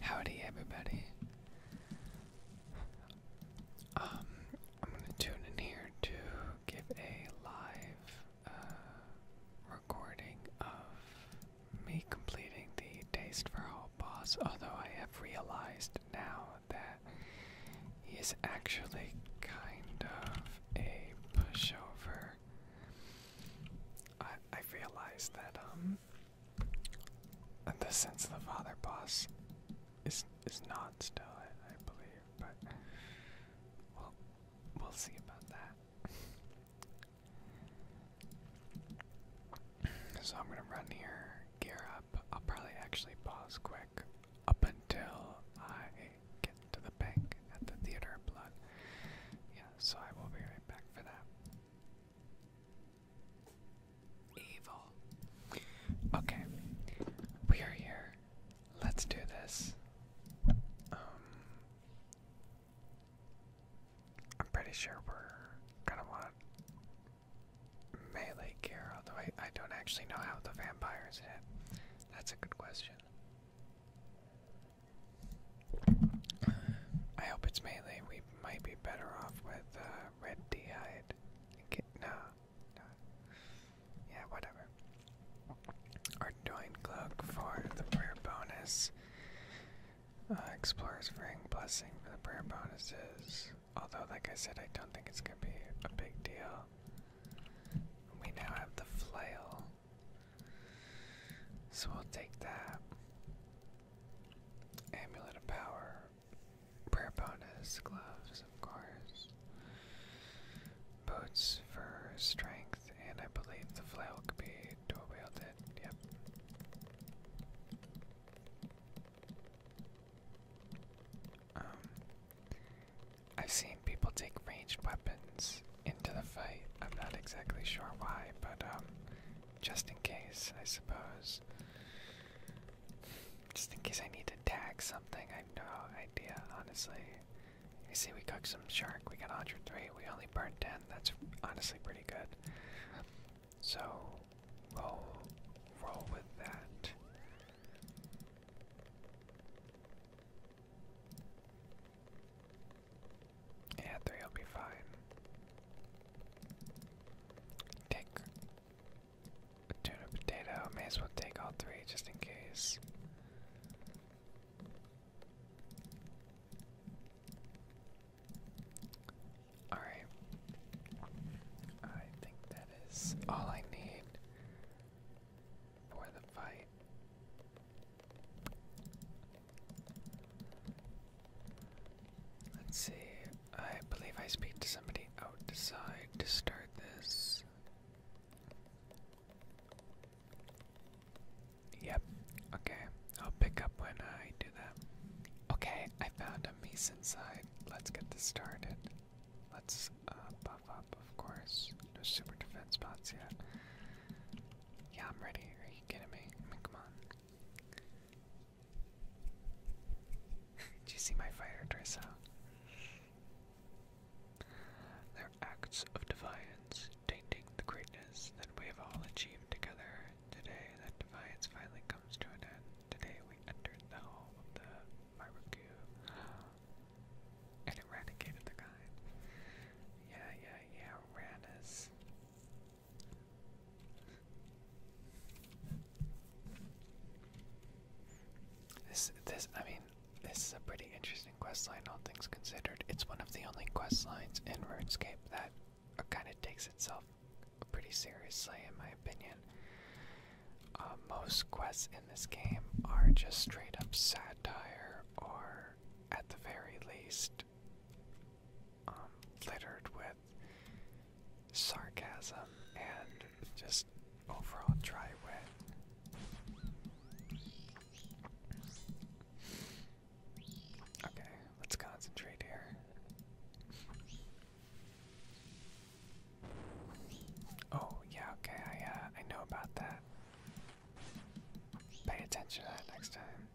Howdy, everybody. Um, I'm gonna tune in here to give a live uh, recording of me completing the Taste for All boss, although I have realized now that he is actually kind of a pushover I I that um the sense of the father boss is is not still I, I believe, but well we'll see about that. So I'm gonna run here, gear up. I'll probably actually pause quick up until I get to the bank at the theater of blood. Yeah, so I will be back for that. Evil. Okay, we are here. Let's do this. Um, I'm pretty sure we're gonna want melee gear, although I, I don't actually know how the vampires hit. That's a good question. I hope it's melee. We might be better off with uh, red dehyde. Okay, no, no. Yeah, whatever. Our Doin Cloak for the prayer bonus. Uh, Explorer's Ring Blessing for the prayer bonuses. Although, like I said, I don't think it's going to be a big deal. We now have the Flail. So we'll take that. Amulet of Power. Prayer bonus. Gloves, of course. Boots for strength. And I believe the flail could be dual wielded. Yep. Um, I've seen people take ranged weapons into the fight. I'm not exactly sure why, but um, just in case, I suppose. Just in case I need to tag something, I have no idea, honestly. You see, we cooked some shark, we got 103, we only burned 10, that's honestly pretty good. So, roll, roll with that. Yeah, three will be fine. Take tuna potato. May as well take all three just in case. Alright. I think that is all I need for the fight. Let's see. I believe I speak to somebody outside to start this. Yep. Okay. I'll pick up when I do that. Okay, I found a piece inside. Let's get this started. Let's uh, buff up, of course. No super defense spots yet. Yeah, I'm ready. Are you getting me? I mean, come on. Do you see my fighter dress out? They're acts of defiance, tainting the greatness that we have all achieved together. Today, that defiance finally comes to an end. Today, we entered the home of the Maruku and eradicated the kind. Yeah, yeah, yeah, Rannis. This, this, I mean, this is a pretty interesting quest line, all things considered. It's one of the only quest lines in RuneScape that kind of takes itself pretty seriously, in my opinion. Uh, most quests in this game are just straight up satire, or at the very least, um, littered with sarcasm and just overall dry wit. Okay, let's concentrate here. Oh, yeah, okay, I, uh, I know about that. Pay attention next time.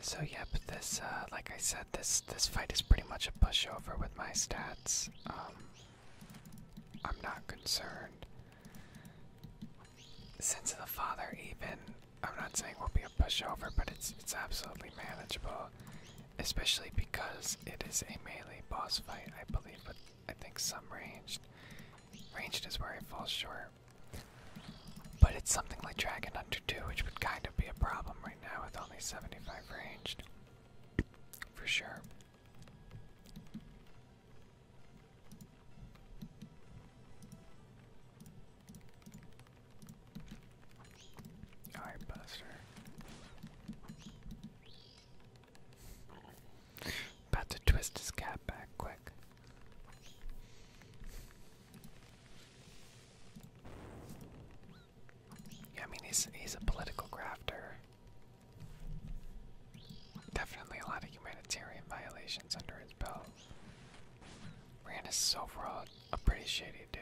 So yep, this uh, like I said, this this fight is pretty much a pushover with my stats. Um, I'm not concerned. since of the Father, even I'm not saying will be a pushover, but it's it's absolutely manageable, especially because it is a melee boss fight, I believe. But I think some ranged. Ranged is where I fall short. But it's something like Dragon Hunter 2, which would kind of be a problem right now with only 75 ranged. For sure. Alright, Buster. About to twist his cap back quick. I mean he's he's a political grafter. Definitely a lot of humanitarian violations under his belt. Rand is overall a pretty shady dude.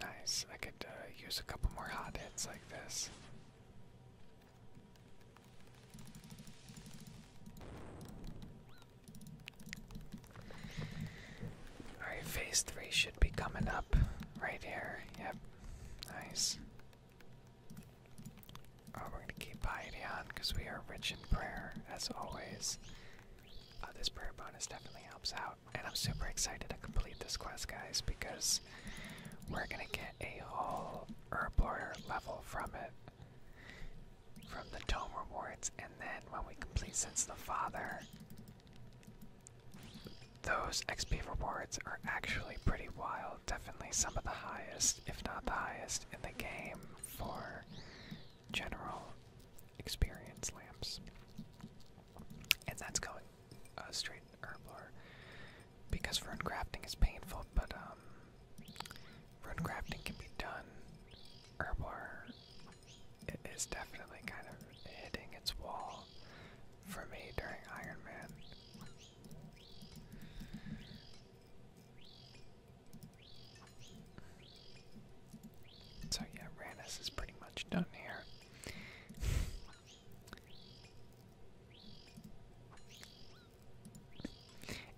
Nice. I could uh, use a couple more hot heads like this. Alright, phase three should be coming up right here. Yep. Nice. Oh, we're gonna keep piety on because we are rich in prayer, as always. Uh, this prayer bonus definitely helps out and I'm super excited to complete this quest, guys, because we're gonna get a whole Herblore level from it. From the Tome Rewards, and then when we complete Sense the Father, those XP rewards are actually pretty wild. Definitely some of the highest, if not the highest, in the game for general experience lamps and that's going uh, straight herblore because rune crafting is painful, but um, rune crafting can be done. Herblore is definitely kind of hitting its wall for me during Iron Man. So yeah, Rannis is pretty much done here.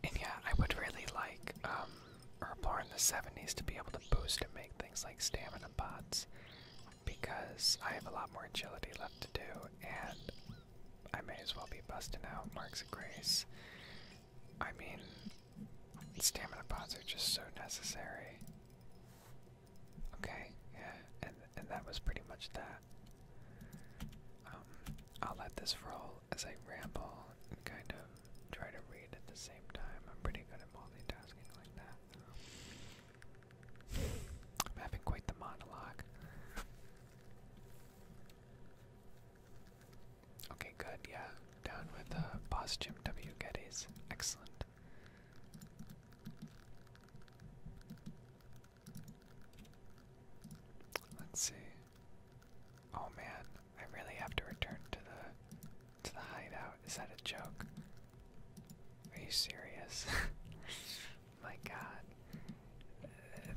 And yeah, I would really like um, in the 70s to be able to boost and make things like stamina pods, because I have a lot more agility left to do and I may as well be busting out Marks of Grace. I mean, stamina pods are just so necessary. Okay, yeah, and and that was pretty much that. Um, I'll let this roll as I ramble and kind of try to read at the same time. I'm pretty good at multitasking like that. I'm having quite the monologue. Okay, good, yeah. Down with uh, Boss Jim W. Geddes. Excellent. Let's see. Oh man, I really have to return to the to the hideout. Is that a joke? Are you serious? My God,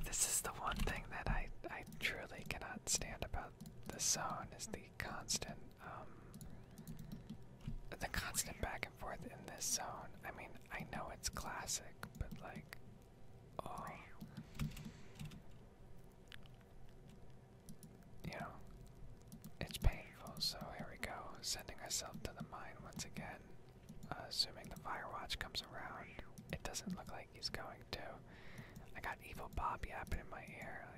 this is the one thing that I I truly cannot stand about the zone is the constant um, the constant back and forth in this zone. I mean, I know it's classic, but like, oh, you know, it's painful. So here we go, sending ourselves to the mine once again. Uh, assuming the fire watch comes around, it doesn't look like he's going to. I got evil Bob yapping in my ear.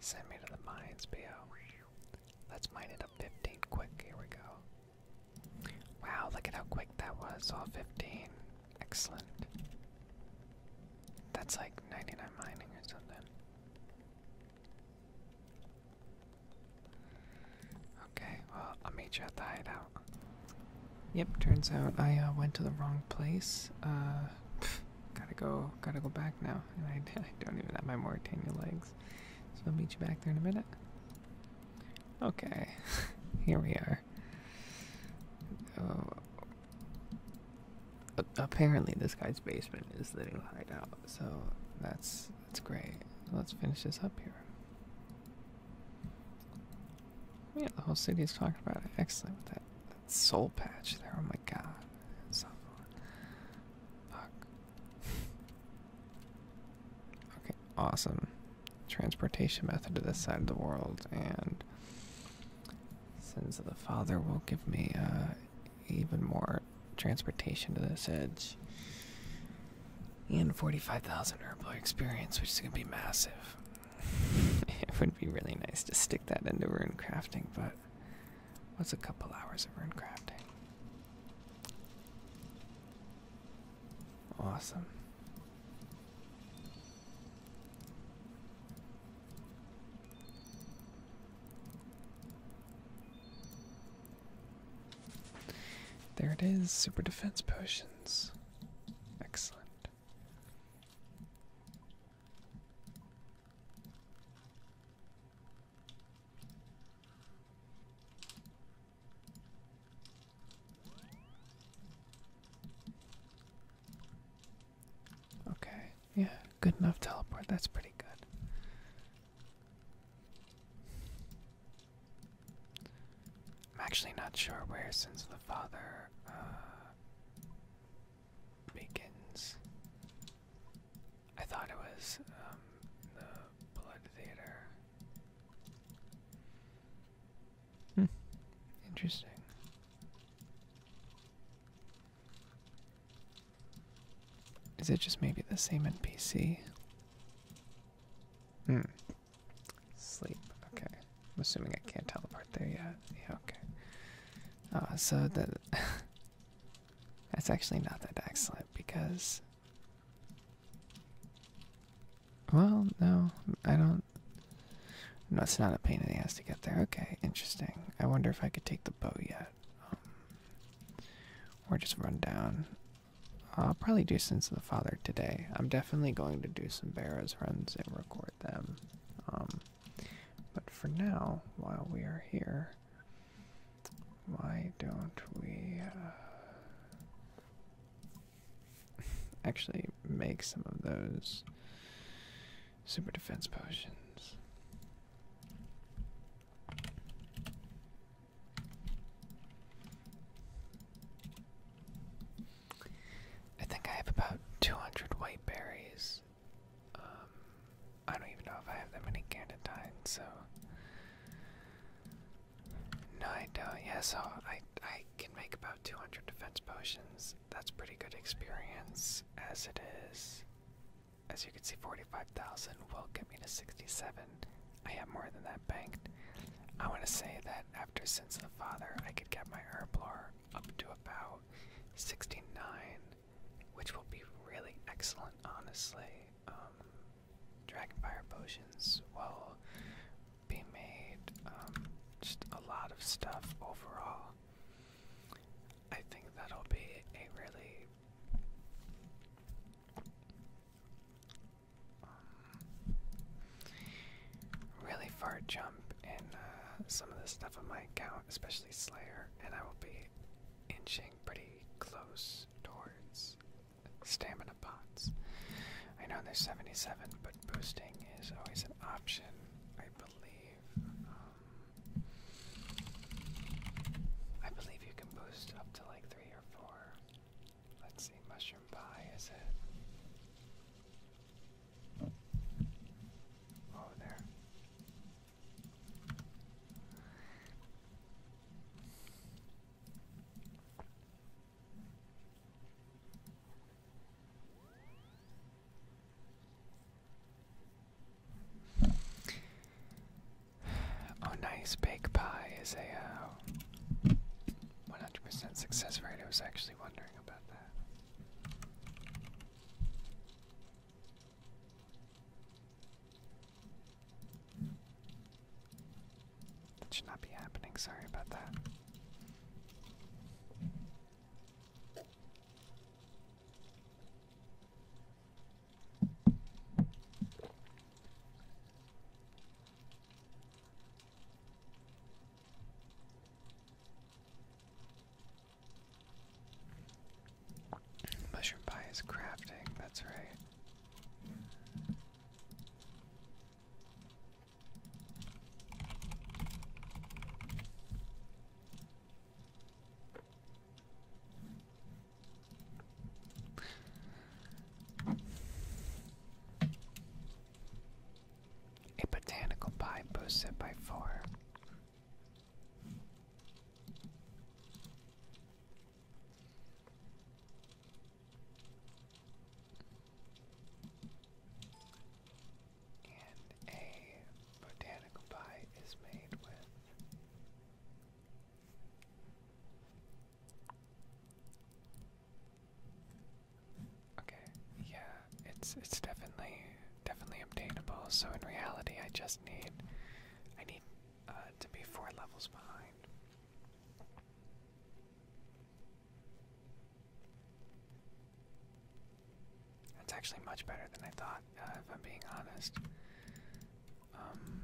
Send me to the mines, P.O. Let's mine it up 15 quick. Here we go. Wow, look at how quick that was. All 15. Excellent. That's like 99 mining or something. Okay, well, I'll meet you at the hideout. Yep, turns out I uh, went to the wrong place. Uh, gotta go, gotta go back now. I, don't even have my Mauritania legs, so I'll meet you back there in a minute. Okay, here we are. Oh, apparently, this guy's basement is the new hideout, so that's that's great. Let's finish this up here. Yeah, the whole city is talking about it. Excellent with that, soul patch there. Oh my god. It's so Fuck. okay, awesome. Transportation method to this side of the world and sins of the father will give me a. Uh, even more transportation to this edge. And 45,000 Herbloid experience, which is going to be massive. it would be really nice to stick that into rune crafting, but what's a couple hours of rune crafting? Awesome. There it is, super defense potions. Excellent. Okay, yeah, good enough teleport. That's pretty good. I'm actually not sure where since the Father uh, begins. I thought it was um, the Blood Theater. Hmm. Interesting. Is it just maybe the same NPC? Hmm. Sleep. Okay. assuming I can't teleport there yet. Yeah, okay. Uh, so the that's actually not that excellent because well, no, I don't. No, it's not a pain in the ass to get there. Okay, interesting. I wonder if I could take the boat yet. Um, or just run down I'll probably do *Since the Father today. I'm definitely going to do some Barrows runs and record them. Um, but for now, while we are here, why don't we uh, actually make some of those super defense potions? I think I have about 200 white berries. Um, I don't even know if I have that many candied. so. No, I don't. Yeah, so I, I can make about 200 defense potions. That's pretty good experience as it is. As you can see, 45,000 will get me to 67. I have more than that banked. I want to say that after since the Father, I could get my Herblore up to about 69, which will be really excellent, honestly. Um, Dragonfire potions will be made, um, just a lot of stuff overall. I think that'll be a really um, really far jump in uh, some of the stuff on my account, especially Slayer, and I will be inching pretty close towards stamina pots. I know they're there's 77, but boosting is always an option, I believe. Um, I believe you can boost up to like three or four. Let's see, mushroom pie is it? Oh, there. Oh, nice. Bake pie is a 100% uh, success rate. I was actually wondering about that. That should not be happening. Sorry about that. Mushroom pie is crafting, that's right. A botanical pie boosted by four. And a botanical pie is made with Okay, yeah, it's it's definitely definitely obtainable. So in reality, I just need I need uh, to be four levels behind. That's actually much better than I thought, uh, if I'm being honest. Um,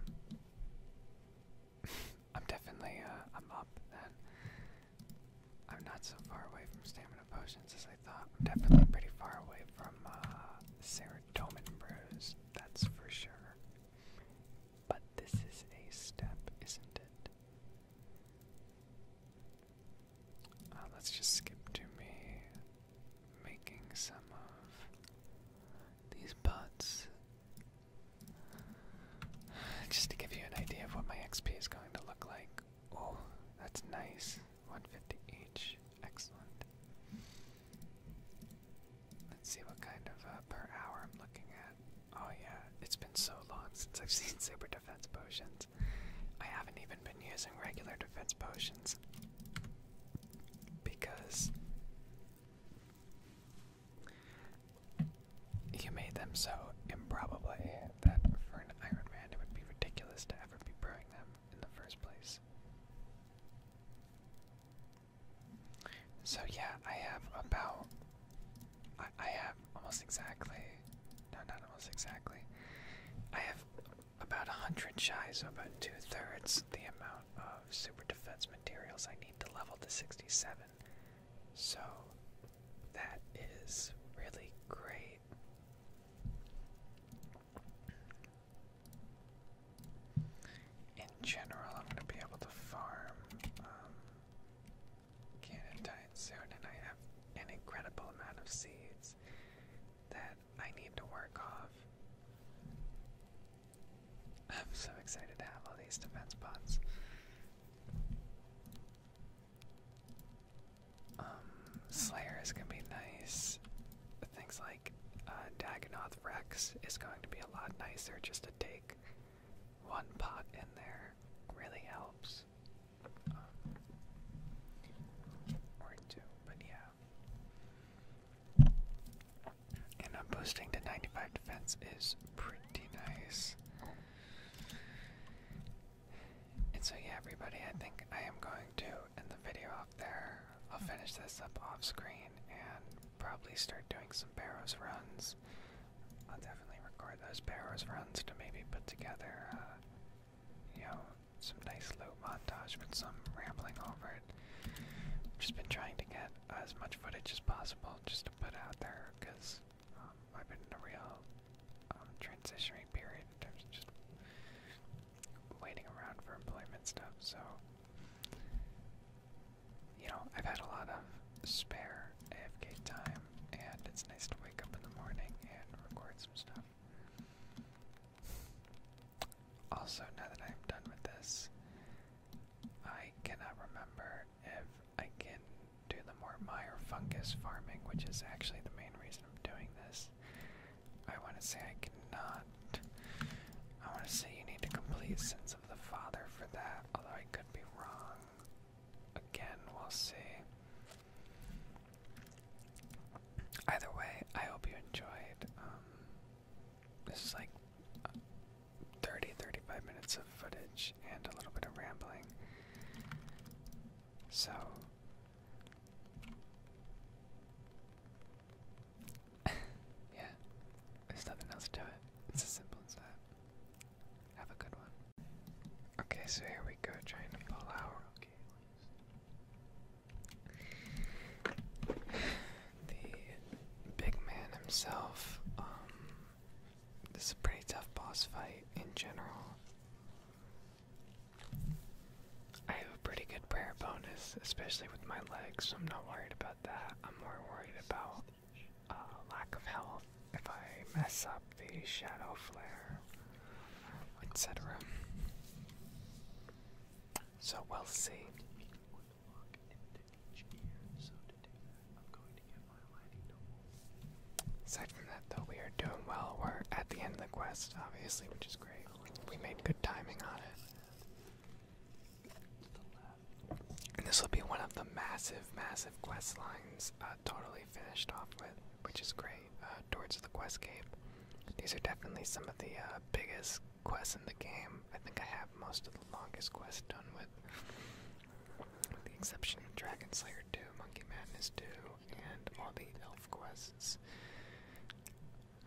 I'm definitely uh, I'm up then. I'm not so far away from stamina potions as I thought. I'm definitely pretty far away from uh, serotonin brews. That's for sure. But this is a step, isn't it? Uh, let's just skip to me making some of these pots just to give you an idea of what my XP is going to look like. Oh, that's nice. 150 each. Excellent. Let's see what kind of uh, per hour I'm looking at. Oh, yeah, it's been so long since I've seen super defense potions. I haven't even been using regular defense potions because you made them so improbably that for an Iron Man it would be ridiculous to ever be brewing them in the first place. So yeah, I have about I, have almost exactly no not almost exactly. I have about a hundred shy, so about two thirds the amount of uh, super defense materials I need to level to 67. So that is really great. In general, I'm going to be able to farm um, Canadine soon, and I have an incredible amount of seeds that I need to work off. I'm so excited to have all these defense pots. Um, Slayer is gonna be nice. Things like uh, Dagonoth Rex is going to be a lot nicer just to take one pot in there really helps. Um, or two, but yeah. And I'm uh, boosting to 95 defense is pretty nice. And so yeah, everybody, I think I am going to end the video up there. I'll finish this up off screen and probably start doing some barrows runs. I'll definitely record those barrows runs to maybe put together, uh, you know, some nice loot montage with some rambling over it. Just been trying to get as much footage as possible just to put out there because um, I've been in a real um, transitionary period in terms of just waiting around for employment stuff. So, you know, I've had a lot of spare AFK time, and it's nice to wake up in the morning and record some stuff. Also, now that I'm done with this, I cannot remember if I can do the more Meyer fungus farming, which is actually the main reason I'm doing this. I want to say I cannot. I want to say you need to complete Sense of the Father for that, although I could be wrong. Again, we'll see. Either way, I hope you enjoyed. Um, this is like 30 35 minutes of footage and a little bit of rambling. So. yeah, there's nothing else to it. It's as simple as that. Have a good one. Okay, so here we go, trying to pull out. the big man himself. Um, this is a pretty tough boss fight in general. I have a pretty good prayer bonus, especially with my legs, so I'm not worried about that. I'm more worried about uh, lack of health if I mess up the shadow flare, etc. So we'll see. Aside from that, though, we are doing well. We're at the end of the quest, obviously, which is great. We made good timing on it. And this will be one of the massive, massive quest lines uh, totally finished off with, which is great, uh, towards the quest cape, These are definitely some of the uh, biggest quests in the game. I think I have most of the longest quests done with, with the exception of Dragon Slayer 2, Monkey Madness 2, and all the elf quests.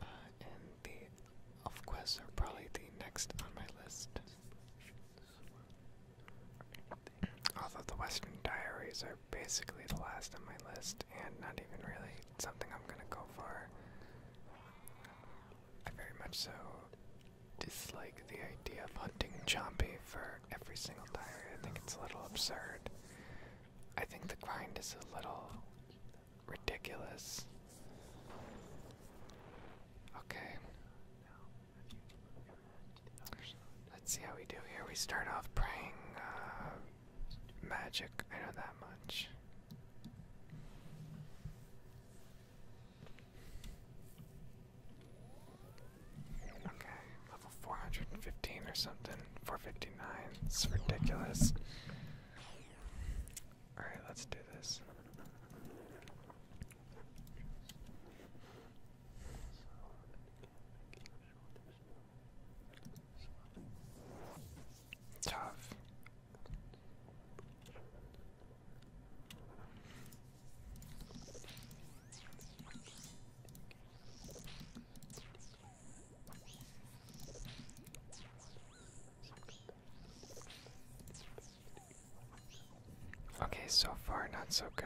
Uh, and the elf quests are probably the next on my list. Although the Western Diaries are basically the last on my list, and not even really something I'm gonna go for. I very much so dislike the idea of hunting Chompy for every single diary. I think it's a little absurd. I think the grind is a little ridiculous. Okay. Let's see how we do here. We start off praying uh, magic. I know that much. Okay, level 415 or something. 459. It's ridiculous. Alright, let's do this. Tough. Okay, so far not so good.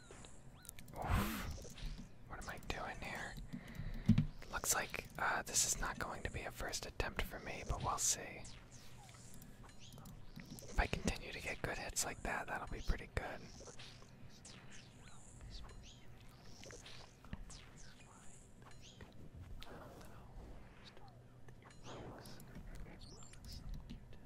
What am I doing here? Looks like uh, this is not going to be a first attempt for me, but we'll see. If I continue to get good hits like that, that'll be pretty good.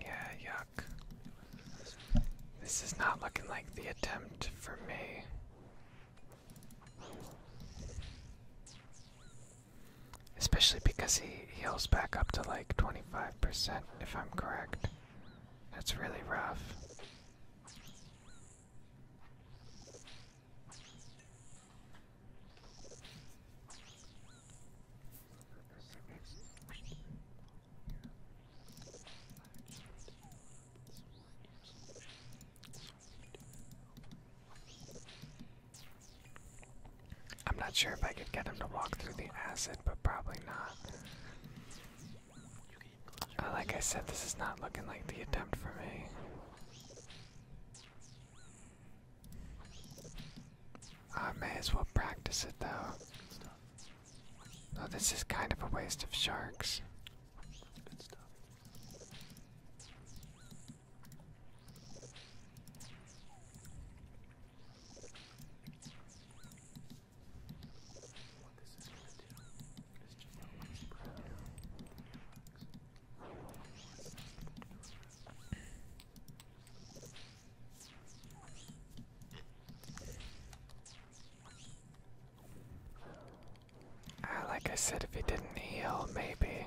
Yeah, yuck. This is not looking like the attempt for me. Especially because he heals back up to like 25%, if I'm correct. That's really rough. I'm not sure if I could get him to walk through the acid, but probably not. Uh, like I said, this is not looking like the attempt for me. I may as well practice it though. No, oh, this is kind of a waste of sharks. Ah, like I said, if he didn't heal, maybe.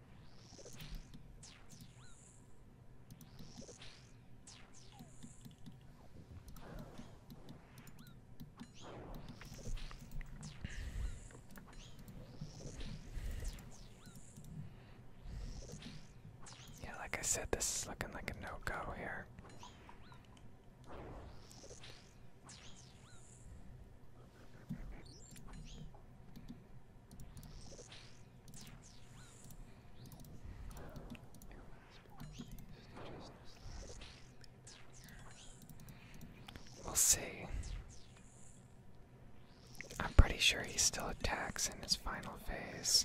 Yeah, like I said, this is looking like a no-go here. We'll see. I'm pretty sure he still attacks in his final phase.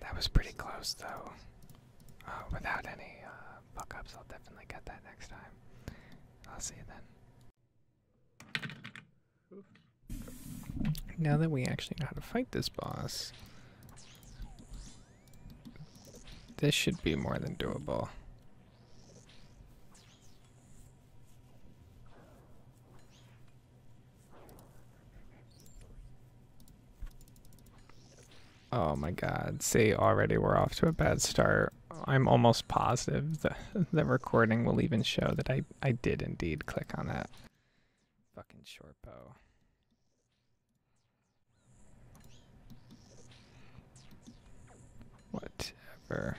That was pretty close, though. Uh, without any buckups, uh, I'll definitely get that next time. I'll see you then. Now that we actually know how to fight this boss, this should be more than doable. Oh my god. See, already we're off to a bad start. I'm almost positive the, the recording will even show that I, I did indeed click on that. Fucking short bow. Whatever.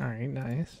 All right, nice.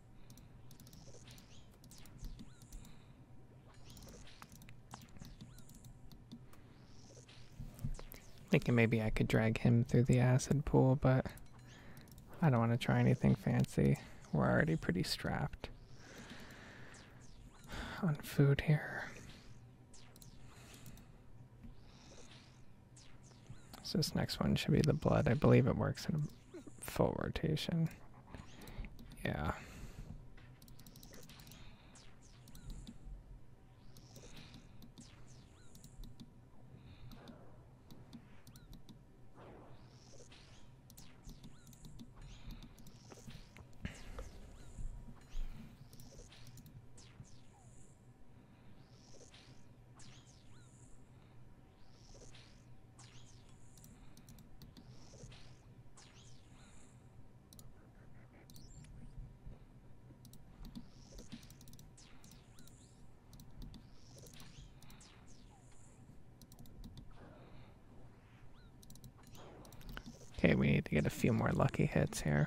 Thinking maybe I could drag him through the acid pool, but I don't want to try anything fancy. We're already pretty strapped on food here. So this next one should be the blood. I believe it works in full rotation. Yeah. Okay, we need to get a few more lucky hits here.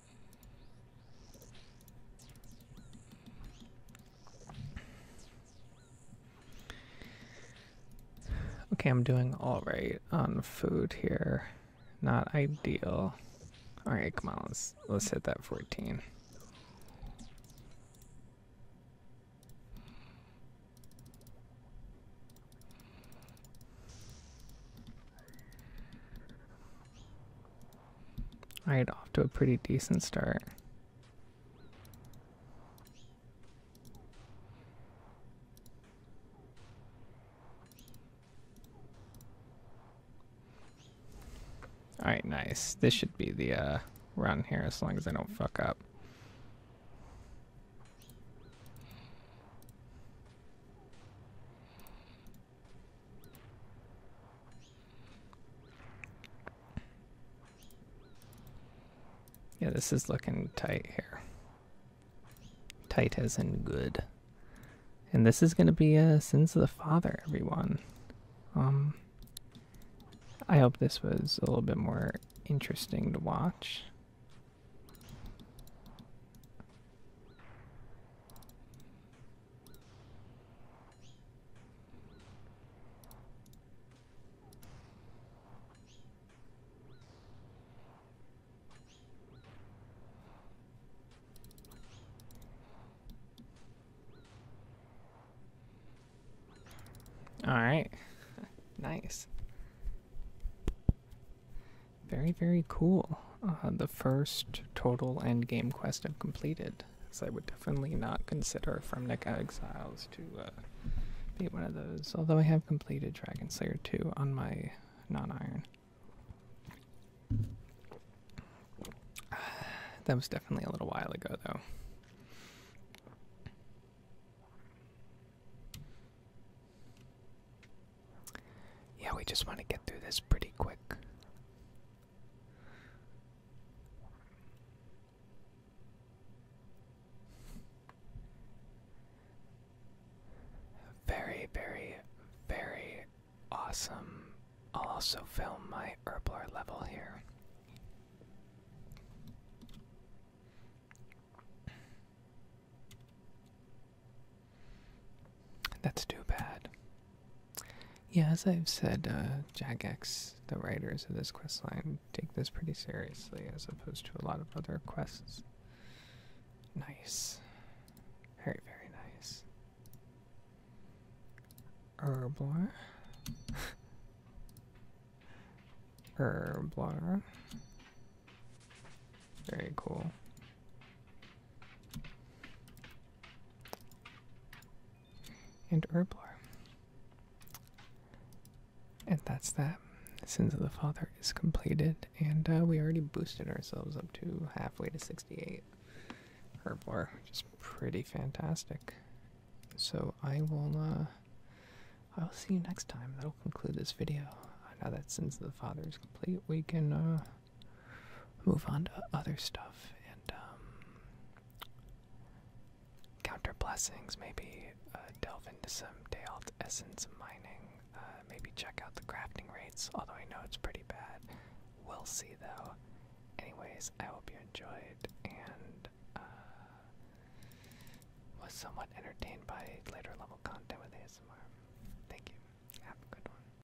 Okay, I'm doing all right on food here. Not ideal. All right, come on, let's let's hit that 14. Alright, off to a pretty decent start. Alright, nice. This should be the uh, run here as long as I don't fuck up. Yeah, this is looking tight here. Tight as in good. And this is going to be uh, Sins of the Father, everyone. Um, I hope this was a little bit more interesting to watch. All right. nice. Very, very cool. Uh, the first total endgame quest I've completed. So I would definitely not consider From Neck Exiles to uh, be one of those. Although I have completed Dragon Slayer 2 on my non-iron. That was definitely a little while ago, though. Yeah, we just want to get through this pretty quick. Very, very, very awesome. I'll also film my Herblar level here. That's too bad. Yeah, as I've said, uh, Jagex, the writers of this quest line, take this pretty seriously as opposed to a lot of other quests. Nice. Very, very nice. Herblar. Herblar. Very cool and Herblore. And that's that. Sins of the Father is completed, and uh, we already boosted ourselves up to halfway to 68 Herblore, which is pretty fantastic. So I will, uh, I'll see you next time. That'll conclude this video. Now that Sins of the Father is complete, we can, uh, move on to other stuff and um, counter blessings. Maybe uh, delve into some Dayalt essence mining. Uh, maybe check out the crafting rates, although I know it's pretty bad. We'll see though. Anyways, I hope you enjoyed and uh, was somewhat entertained by later level content with ASMR. Thank you. Have a good one.